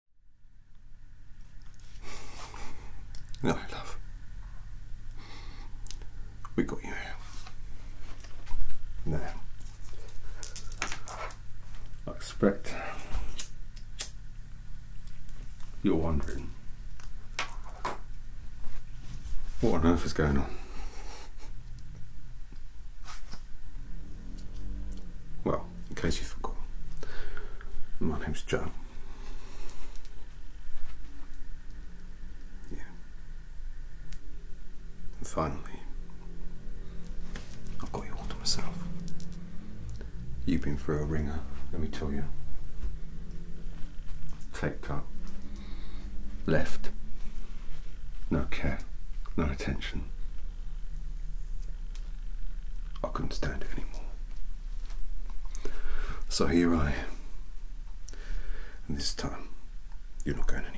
No, love. We got you here. Now, I expect you're wondering what on earth is going on. Well, in case you forgot. My name's Joe. Yeah. And finally, I've got you all to myself. You've been through a ringer, let me tell you. Take that. Left. No care. No attention. I couldn't stand it anymore. So here I am. And this time, you're not going anywhere.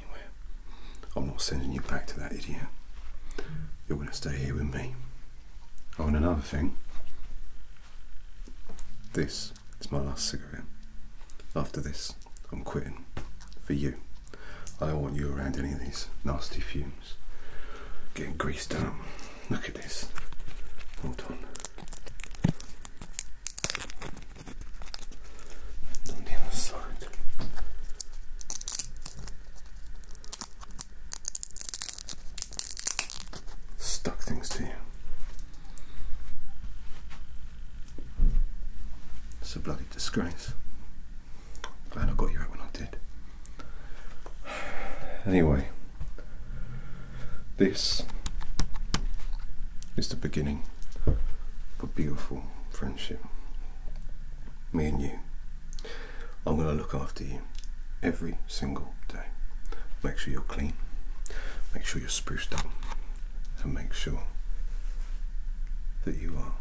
I'm not sending you back to that idiot. You're going to stay here with me. Oh, and another thing. This is my last cigarette. After this, I'm quitting. For you. I don't want you around any of these nasty fumes getting greased up. Look at this. Hold on. on the other side. Stuck things to you. It's a bloody disgrace. Glad I got you out when I did. Anyway, this is the beginning of a beautiful friendship. Me and you. I'm going to look after you every single day. Make sure you're clean, make sure you're spruced up, and make sure that you are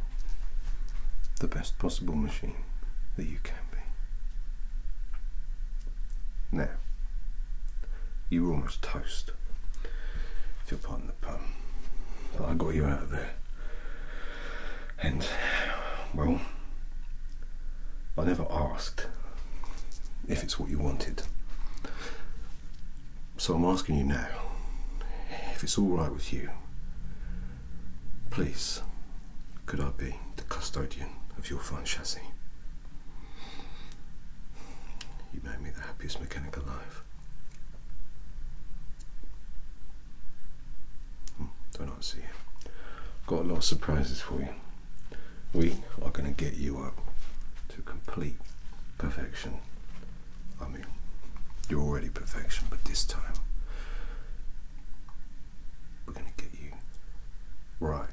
the best possible machine that you can. Now, you were almost toast, if you'll pardon the pun, but I got you out of there. And, well, I never asked if it's what you wanted. So I'm asking you now, if it's all right with you, Please, could I be the custodian of your fine chassis? You made me the happiest mechanic alive. Hmm, don't I see you? Got a lot of surprises for you. We are going to get you up to complete perfection. I mean, you're already perfection, but this time we're going to get you right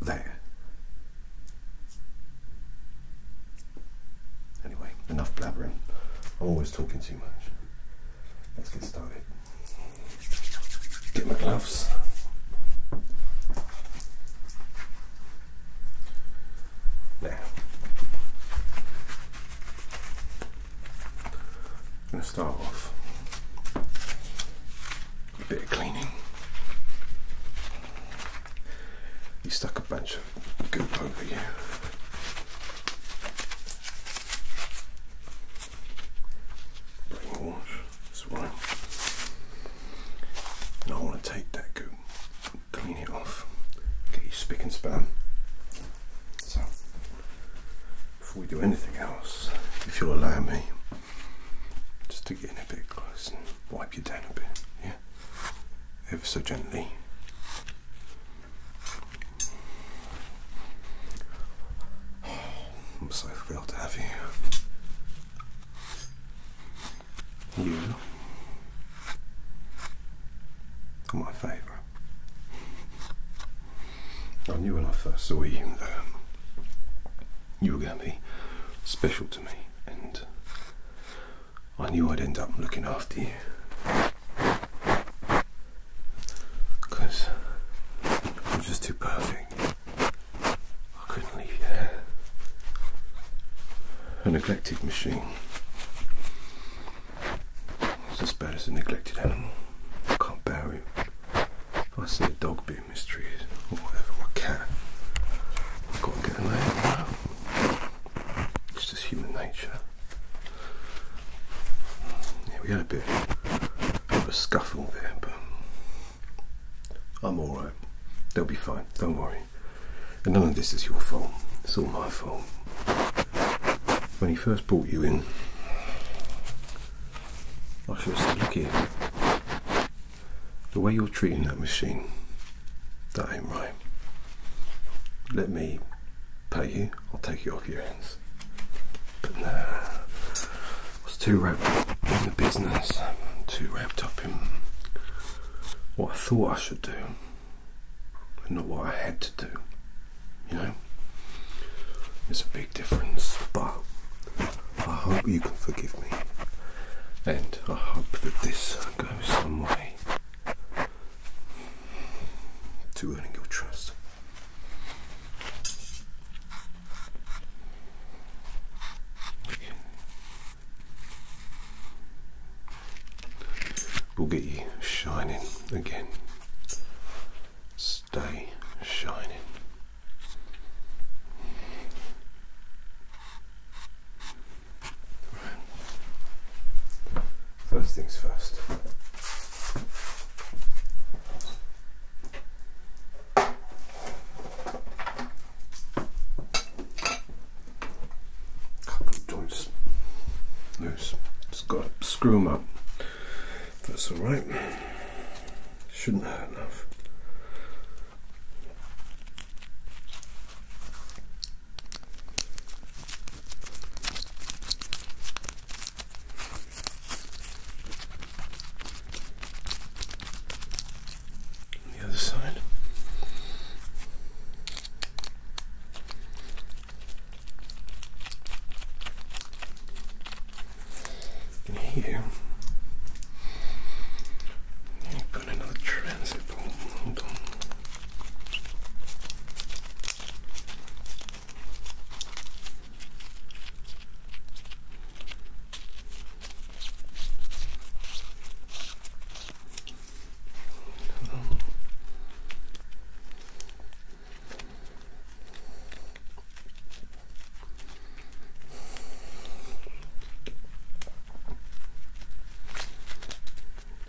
there. Anyway, enough blabbering. I'm always talking too much. Let's get started. Get my gloves. Now, I'm going to start off a bit of cleaning. You stuck a bunch of goo over you. Brain wash, that's right. And I want to take that goo, clean it off, get you spick and span. So before we do anything else, if you'll allow me, just to get in a bit closer, and wipe you down a bit, yeah? Ever so gently. I'm so thrilled to have you. You are my favourite. I knew when I first saw you um, you were going to be special to me, and I knew I'd end up looking after you. you're just too perfect. I couldn't leave you there. A neglected machine. It's as bad as a neglected animal. I can't bear it. If I see a dog being mistreated or whatever, a cat, I've got to get an eye It's just human nature. Yeah, we had a bit of a scuffle there, but I'm alright. They'll be fine, don't worry. And none of this is your fault. It's all my fault when he first brought you in, I should have said, look here, the way you're treating that machine, that ain't right. Let me pay you, I'll take you off your hands. But nah, I was too wrapped up in the business, too wrapped up in what I thought I should do, and not what I had to do. You know, it's a big difference, but I hope you can forgive me, and I hope that this goes some way to earning your trust. We'll get you shining again stay shining. First things first. Couple joints loose. Just got to screw them up. That's all right. Shouldn't hurt enough. The other side. And here, I've another transit ball.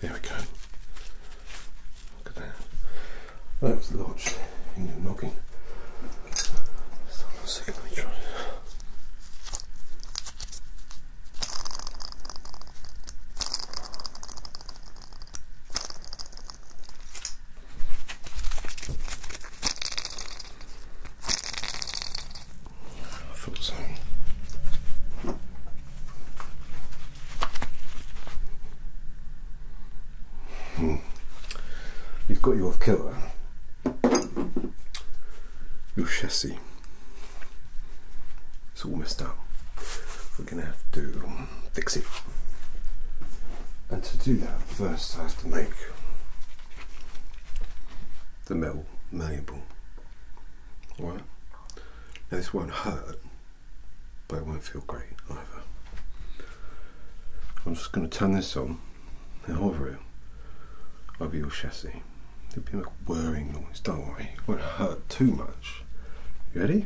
There we go. Look at that. was lodged in your noggin. So I'm secondly trying. I thought so. Hmm. You've got your off kilter. Your chassis. It's all messed up. We're gonna have to Fix it, And to do that, first I have to make the metal malleable. Alright? Now this won't hurt, but it won't feel great either. I'm just going to turn this on and hover it over your chassis. It'll be a whirring noise, don't worry, it won't hurt too much. ready?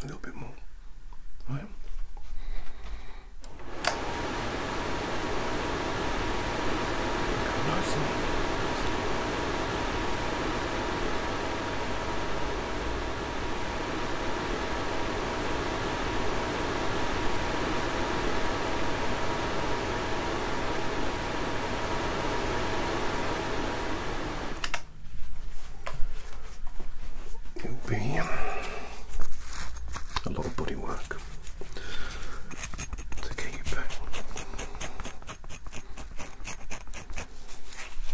A little bit more. All right. Nice. It'll be a lot of body work to keep.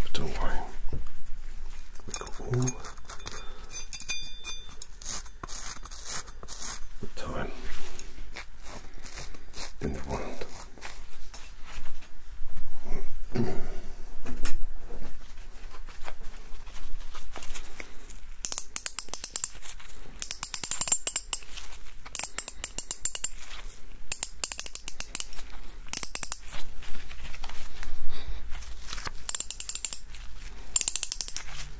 But don't worry, we got all time in the world.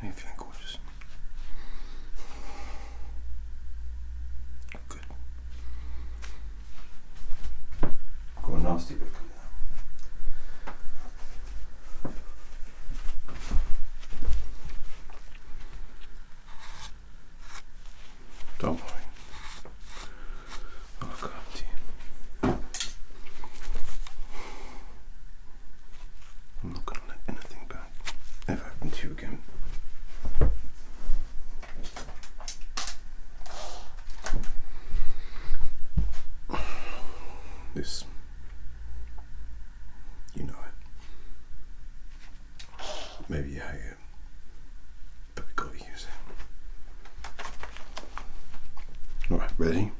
How are feeling gorgeous? Good. Got nasty don't worry. I'll come I'm not going to let anything bad ever happen to you again. This you know it. Maybe you hate it, but we gotta use it. Alright, ready?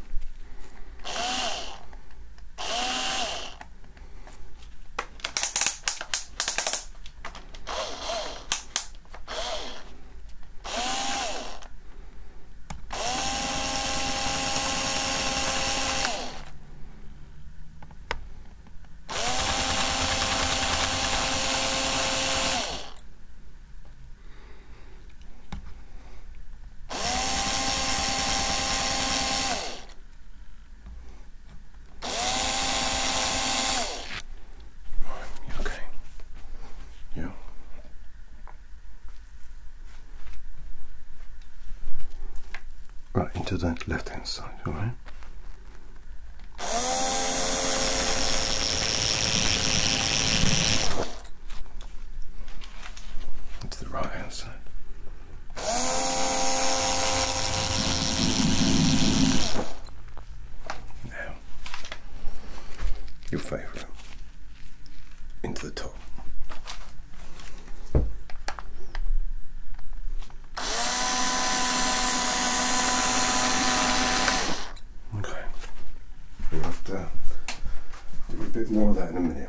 Okay. You. Right, into that left hand side, alright? Into the right hand side. Now, your favourite into the top. Okay, we'll have to do a bit more of that in a minute.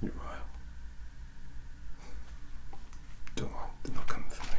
You're right. Don't worry, they're not coming for me.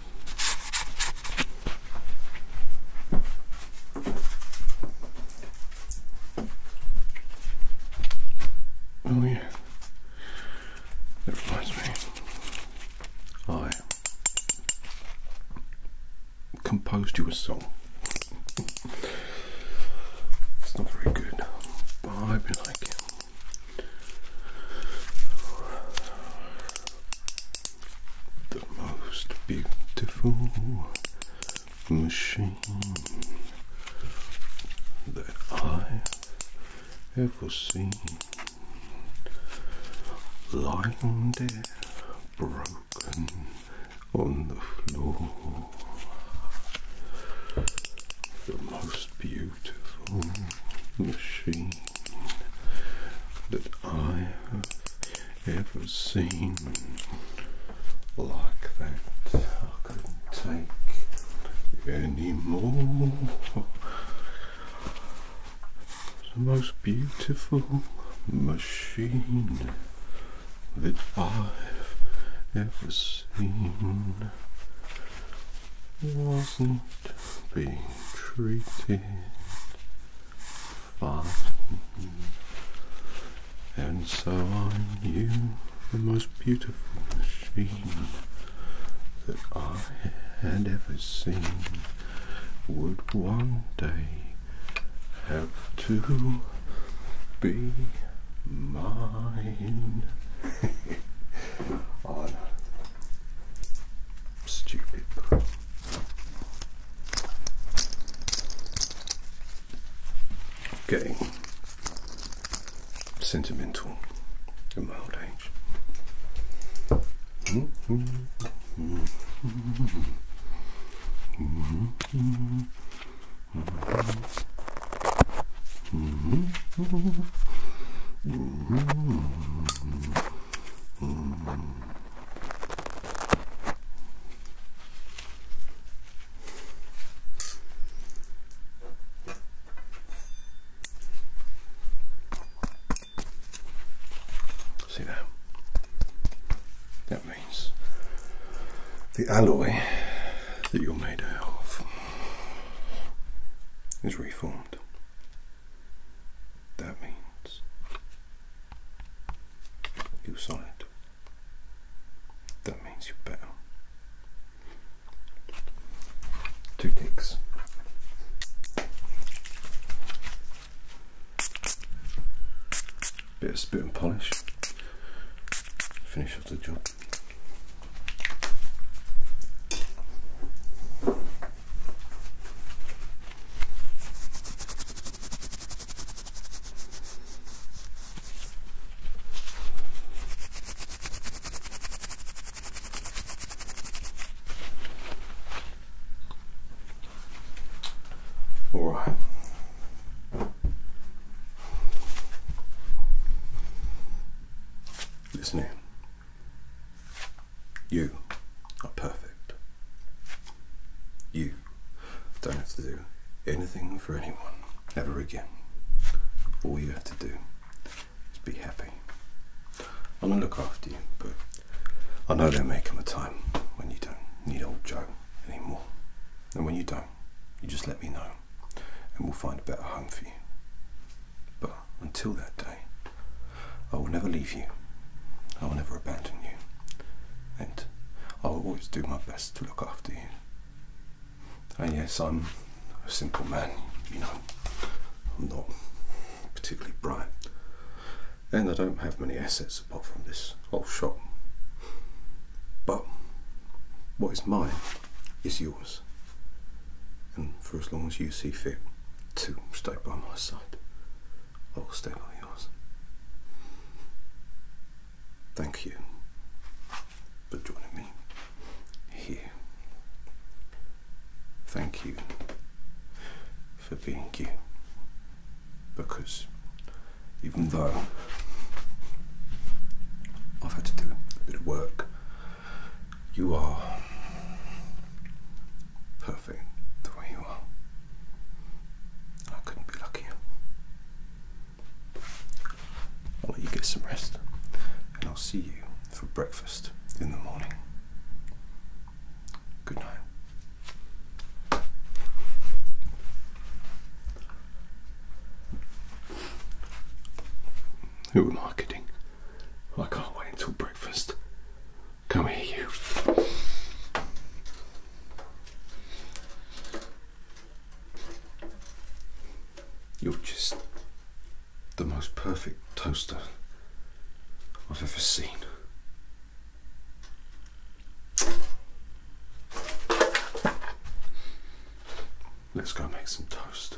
Oh yeah, that reminds me. I composed you a song. it's not very good, but I like it the most beautiful machine that I've ever seen. Lying there, broken on the floor, the most beautiful machine that I have ever seen like that. I couldn't take any more. It's the most beautiful machine that I've ever seen wasn't being treated fine. And so I knew the most beautiful machine that I had ever seen would one day have to be mine. on Stupid Okay. sentimental at my age. See that? That means the alloy that you're made of is reformed. That means you solid. That means you're better. Two ticks. Bit of spit and polish. Finish off the job. All right. Listen here. You are perfect. You don't have to do anything for anyone ever again. All you have to do is be happy. I'm going to look after you, but I know there may come a time when you don't need old Joe anymore. And when you don't, you just let me know and we'll find a better home for you. But until that day, I will never leave you. I will never abandon you. And I will always do my best to look after you. And yes, I'm a simple man, you know. I'm not particularly bright. And I don't have many assets apart from this old shop. But what is mine is yours. And for as long as you see fit to stay by my side, I will stay by yours. Thank you for joining me here. Thank you for being you. Because even though I've had to do a bit of work you are perfect the way you are. I couldn't be luckier. I'll let you get some rest, and I'll see you for breakfast in the morning. Good night. Who am I kidding? I can't wait until breakfast. Come here, you. You're just the most perfect toaster I've ever seen. Let's go make some toast.